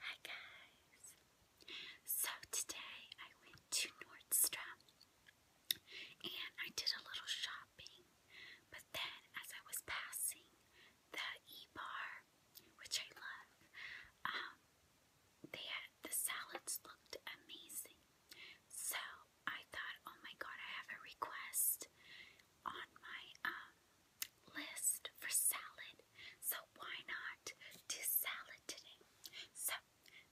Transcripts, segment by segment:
Hi guys! So today I went to Nordstrom and I did a little shopping, but then as I was passing the e-bar, which I love, um, they had, the salads looked amazing. So I thought, oh my god, I have a request on my um list for salad, so why not do salad today? So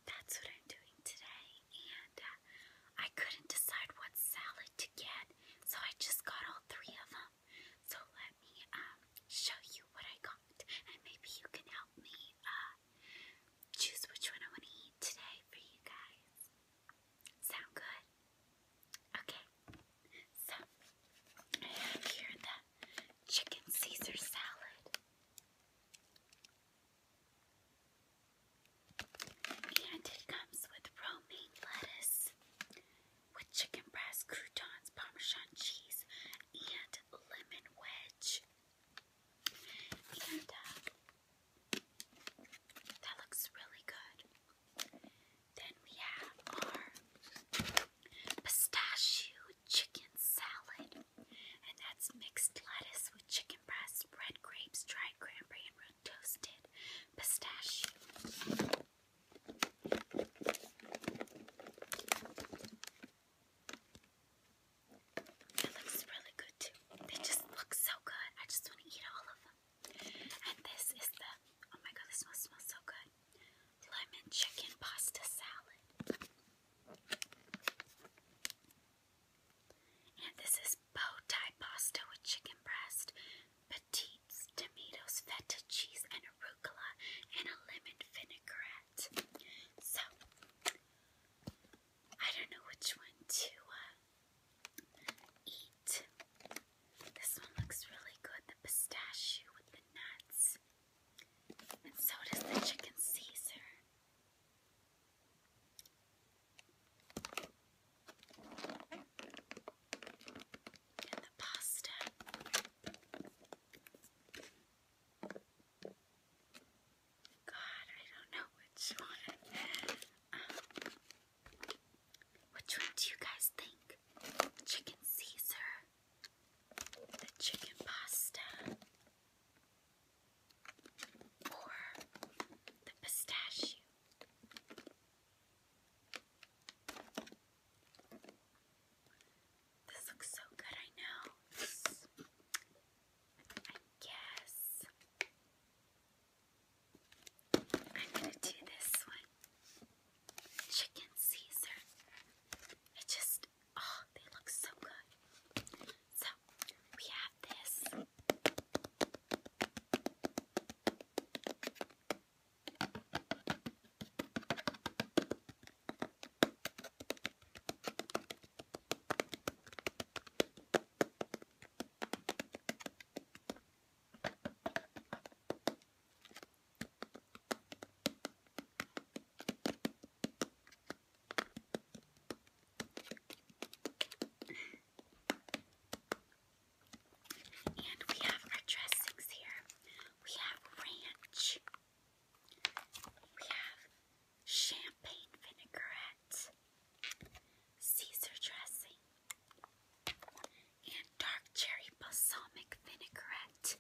that's what I'm doing today, and uh, I couldn't decide what salad to get, so I just got all three of them. So let me um, show you what I got, and maybe you can help me uh, choose which one I want to eat today for you guys. Sound good? Okay, so I have here the chicken Caesar salad. And it comes with romaine lettuce, with chicken breast, croutons, parmesan cheese, and lemon wedge. And uh, that looks really good. Then we have our pistachio chicken salad, and that's mixed lettuce with chicken breast, red grapes, dried cranberry, and root toasted pistachio. It looks really good too. They just look so good. I just want to eat all of them. And this is the, oh my god, this smells so good. Lemon chicken pasta salad. And this is bow tie pasta with chicken breast, petites, tomatoes, feta cheese, and arugula, and a lemon vinaigrette. So, I don't know which one to uh, Eat. This one looks really good, the pistachio with the nuts. And so does the chicken Caesar. And the pasta. God, I don't know which one. Um, which one do you guys think? Chicken Caesar, the chicken pasta, or the pistachio? This looks so good, I know. I guess I'm gonna do this one. Chicken Caesar. It just, oh, they look so good. So, we have this. And we have our dressings here. We have ranch. We have champagne vinaigrette. Caesar dressing and dark cherry balsamic vinaigrette.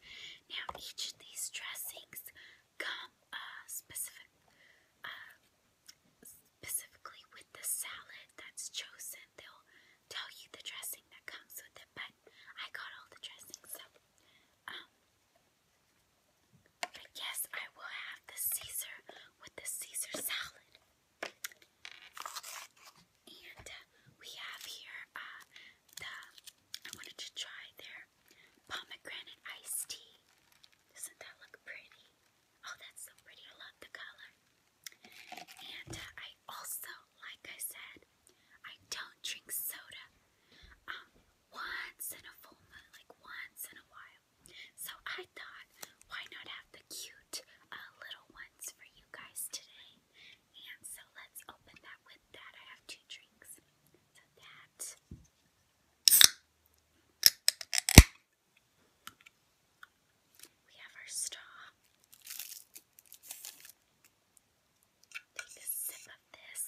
Now, each of these dressings come uh, specific, uh, specifically with the salad that's chosen. They'll tell you the dressing that comes with it, but I got all the dressings, so um. But yes, I will have the Caesar with the Caesar salad. And uh, we have here uh, I wanted to try their pomegranate iced tea. Doesn't that look pretty? Oh, that's so pretty. I love the color. And uh, I also, like I said, I don't drink soda um, once in a full moon, like once in a while. So I thought, why not have the cute uh, little ones for you guys today? And so let's open that with that. I have two drinks. So that. We have our straw. Take a sip of this.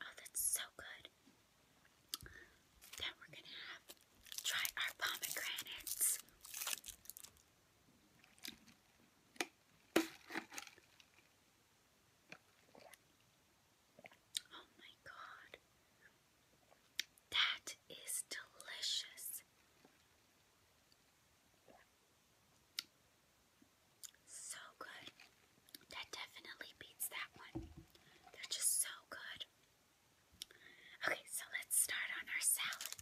Oh, that's so good. Then we're gonna try our pomegranates. Oh my god. That is delicious. So good. That definitely beats that one. They're just so good. Okay, so let's start on our salad.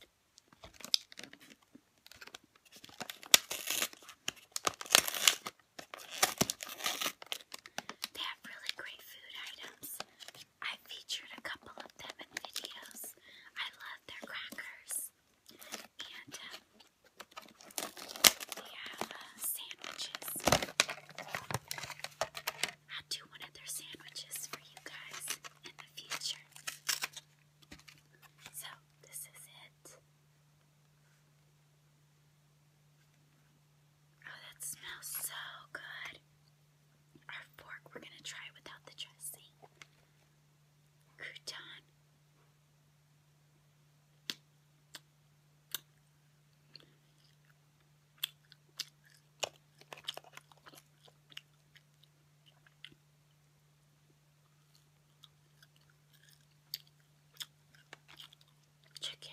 They have really great food items. I featured a couple of them in videos. I love their crackers. Um, we have sandwiches. i do one of their sandwiches for you guys in the future. So, this is it. Oh, that smells so good. Our fork, we're going to try without the dressing. Crouton, Chicken.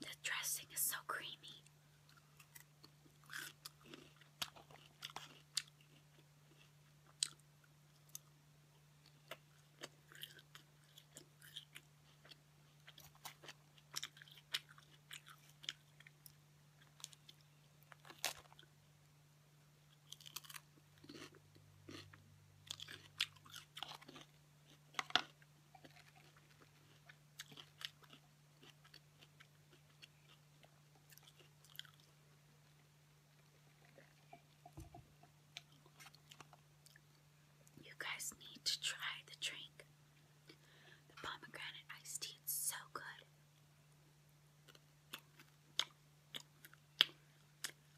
The dressing is so creamy. You guys need to try the drink. The pomegranate iced tea is so good.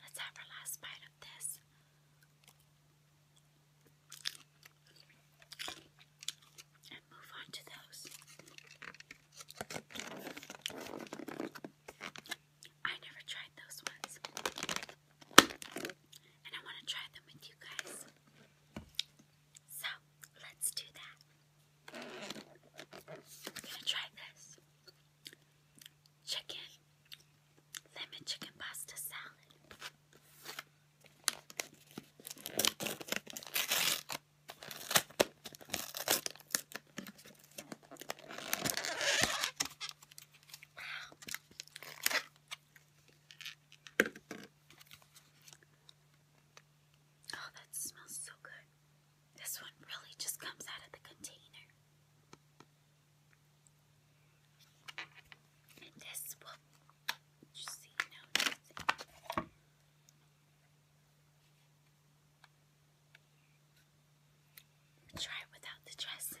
Let's have our last bite of this. And move on to those. I never tried those ones. And I want to try them with you guys. So let's do that. I'm gonna try this chicken, lemon chicken pasta salad. Oh, that smells so good. This one really just comes out of the container. this will Try it without the dressing.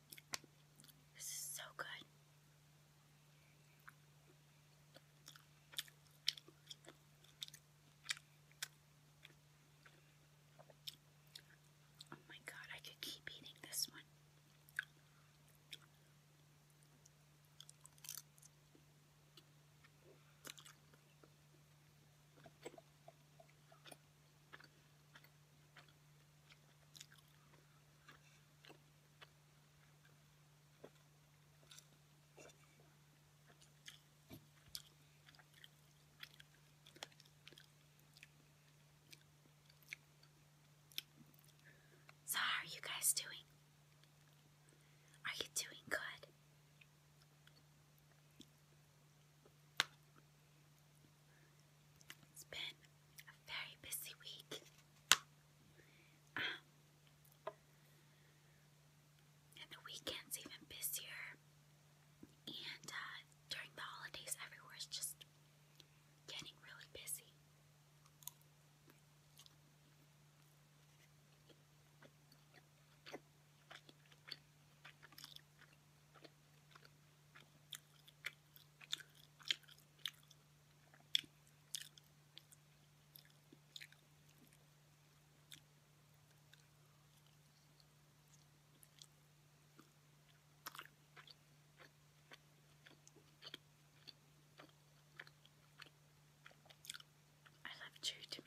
This is so good. Oh my god, I could keep eating this one. So, how are you guys doing? Are you doing good? It's been a very busy week. Um, and the weekend's even busier. And uh, during the holidays, everywhere's just getting really busy. I love chewed tomato.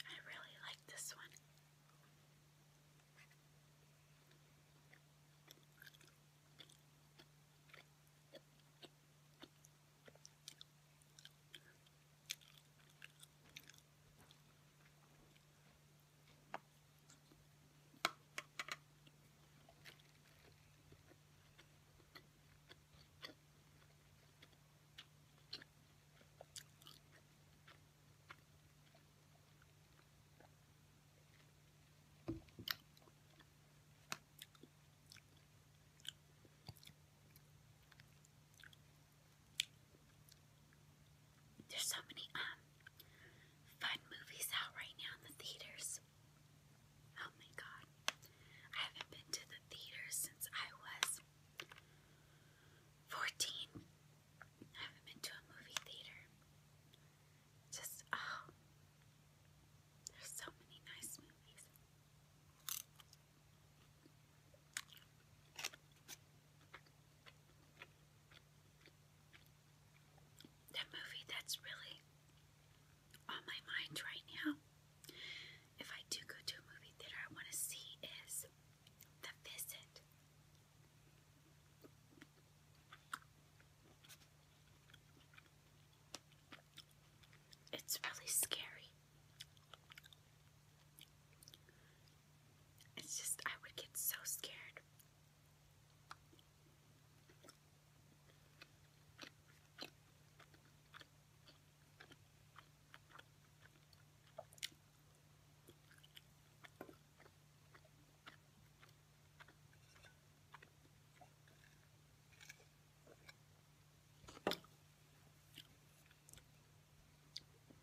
I really like this one. There's so many um fun movies out right now in the theaters. Oh my god. I haven't been to the theater since I was 14. I haven't been to a movie theater. Just, oh, there's so many nice movies. The movie that's really on my mind right now, if I do go to a movie theater, I want to see is the visit. It's really scary. It's just, I would get so scared.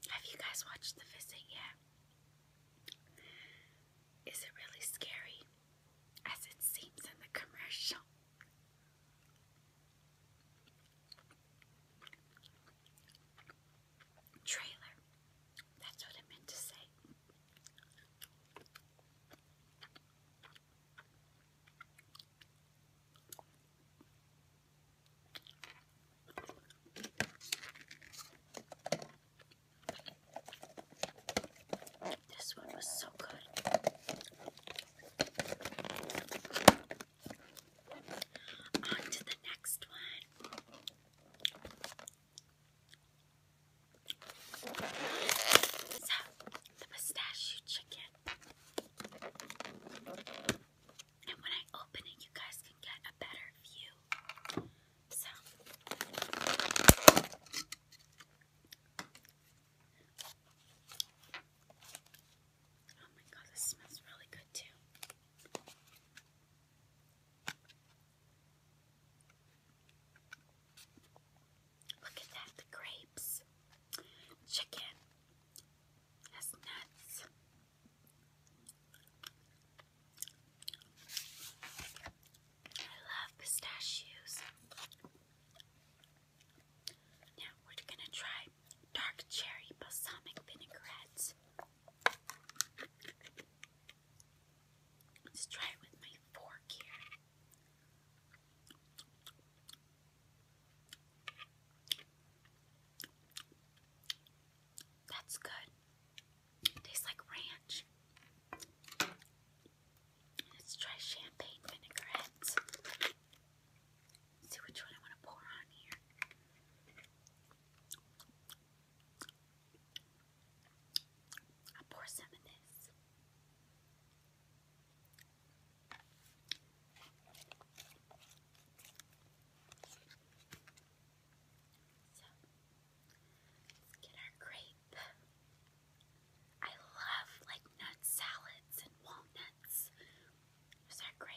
Have you guys watched The Visit yet? Is it really scary as it seems in the commercial? Trailer. That's what I meant to say. This one was so good. On to the next one. So, the pistachio chicken. And when I open it, you guys can get a better view. So, Oh my god, this smells really good too. Look at that, the grapes. Chicken has nuts. I love pistachios. Now we're gonna try dark cherry balsamic vinaigrette. Let's try it with my fork here. That's good. Tastes like ranch. Let's try champagne vinaigrette see which one I want to pour on here. i pour some of this. let's get our grape. I love like nut salads and walnuts. Is that grape?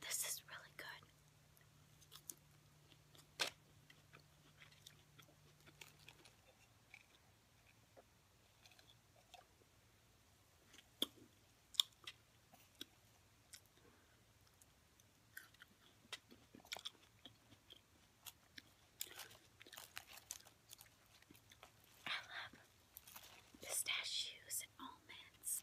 This is really good. I love pistachios and almonds.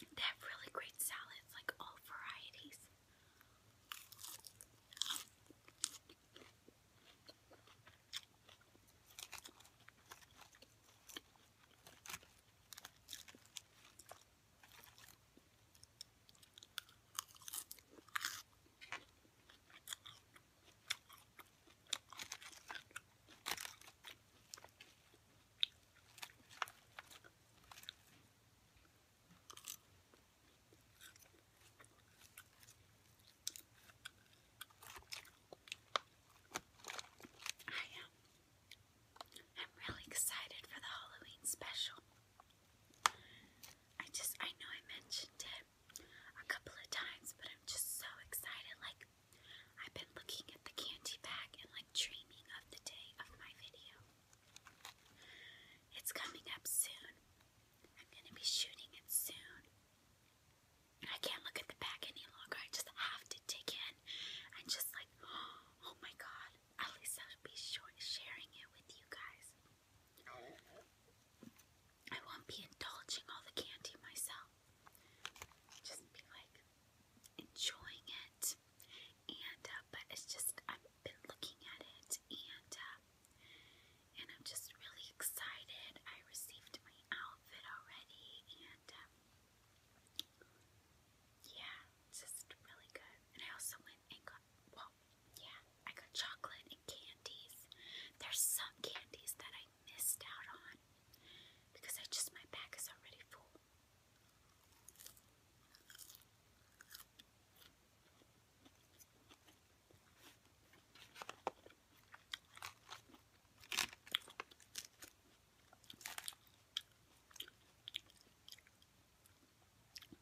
They have really great salads, like all varieties. I am. I'm really excited for the Halloween special. I just, I know I mentioned it a couple of times, but I'm just so excited. Like, I've been looking at the candy bag and like dreaming of the day of my video. It's coming up soon. I'm gonna be shooting it soon. And I can't look at the bag any longer. I just have to dig in and just like, oh my god, at least I'll be sure sharing it with you guys. I won't be indulging all the candy myself. Just be like enjoying it, and uh, but it's just I've been looking at it, and uh, and I'm just really excited. I received my outfit already, and um, yeah, it's just really good. And I also went and got well, yeah, I got chocolate and candies. There's some candies that I missed out on because I just, my bag is already full.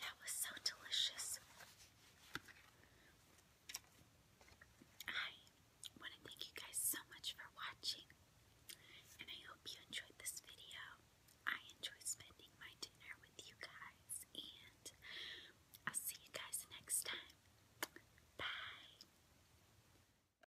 That was so delicious. I want to thank you guys so much for watching, and I hope you enjoyed this video. I enjoy spending my dinner with you guys, and I'll see you guys next time. Bye.